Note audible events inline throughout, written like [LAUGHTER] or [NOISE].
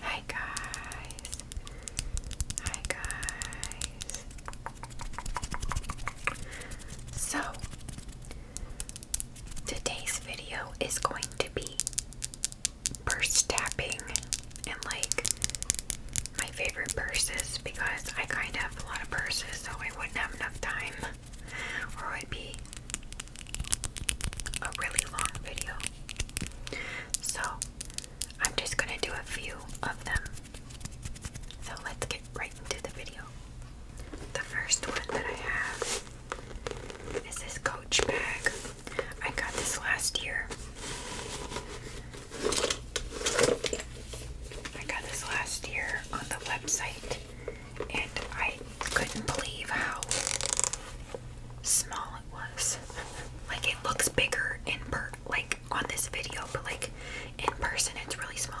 Hi guys. Hi guys. So, today's video is going to be purse tapping and like my favorite purses because I kind of have a lot of purses so I wouldn't have enough time or it would be a really long video. So I'm just going to do a few of them. So let's get right into the video. The first one that I have is this Coach bag. I got this last year. I got this last year on the website and I couldn't believe how small it was. Like it looks bigger in per like on this video, but like in person it's really small.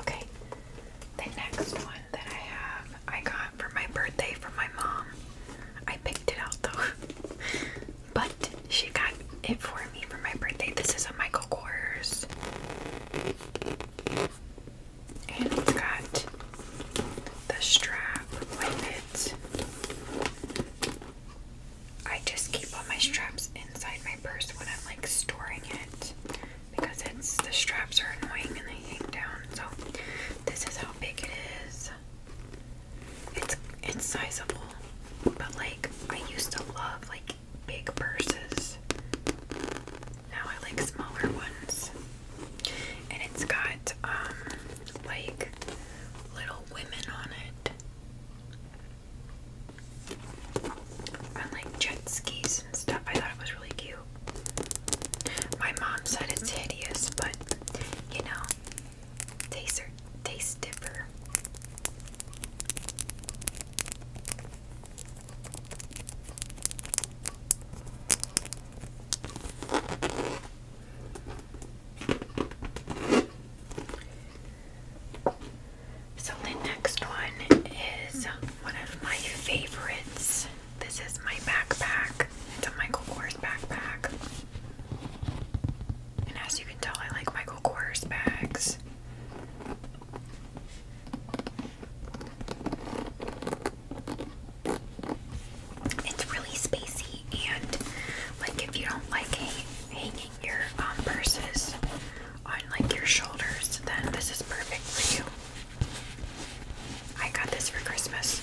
Okay, the next one that I have, I got for my birthday from my mom. I picked it out though. [LAUGHS] But she got it for me for my birthday. This is a Michael Kors. And it's got the strap with it. I just keep all my straps inside my purse when I'm like storing it because it's the straps are annoying and they hang down. So this is how big it is. It's it's sizable, but like I used to love like big purses. Now I like smaller ones. And it's got um like little women on it. On like jet skis and stuff. I thought it was really cute. My mom said it's hideous, but you know, Taster, taste dipper. So the next one is one of my favorites. This is my backpack. It's a Michael Kors backpack. And as you can tell, I like Michael Kors bags. It's really spacey, and like if you don't like hanging your um, purses on like your shoulders, then this is perfect for you. I got this for Christmas.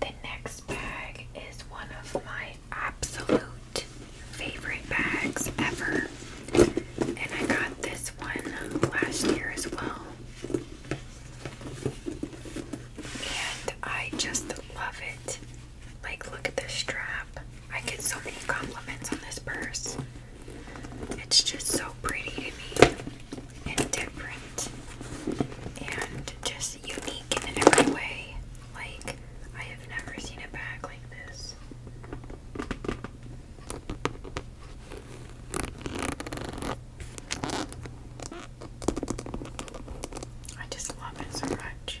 The next bag is one of my my absolute favorite bags ever. And I got this one last year as well. And I just love it. Like, look at this strap. I get so many compliments on this purse. It's just so pretty to me and different and just unique in every way. Like, I have never seen a bag like this. I just love it so much.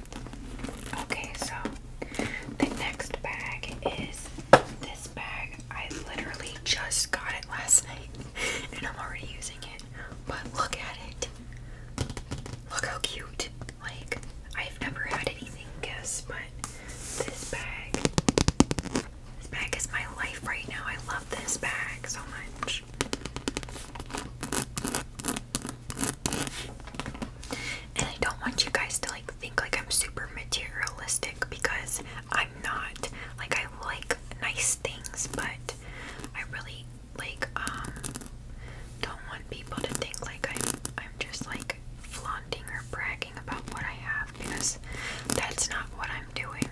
Okay, so the next bag is this bag. I literally just got it last night [LAUGHS] and I'm already using it. But look at it. Look how cute. Like, I've never had anything guess but this bag. This bag is my life right now. I love this bag so much. And I don't want you guys to like think like I'm super materialistic because I'm not. Like I like nice things, but I really like um don't want people to think like I'm I'm just like flaunting or bragging about what I have because that's not what I'm doing.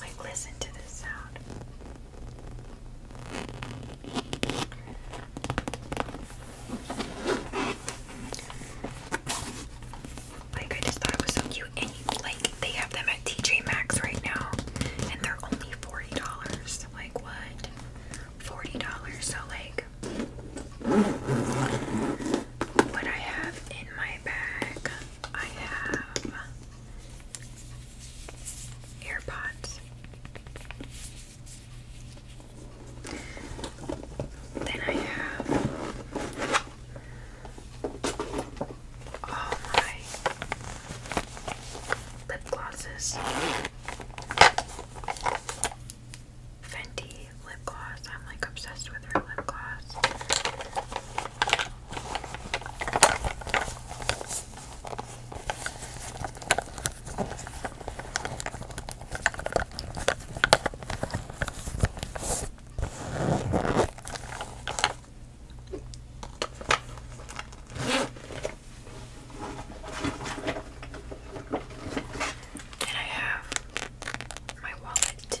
Like, listen to this sound. Like, I just thought it was so cute. And, you, like, they have them at TJ Maxx right now, and they're only $40. Like, what? $40. So, like, what I have in my bag I have AirPods. Then I have all oh my lip glosses. Fenty lip gloss. I'm like obsessed with her lip gloss. And I have my wallet.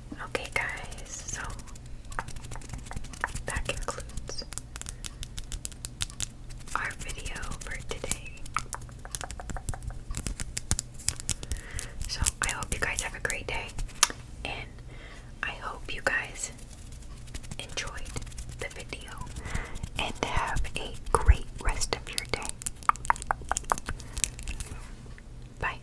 Okay, guys, so that concludes our video for today. So, I hope you guys have a great day, and I hope you guys enjoyed the video and have a great rest of your day. Bye.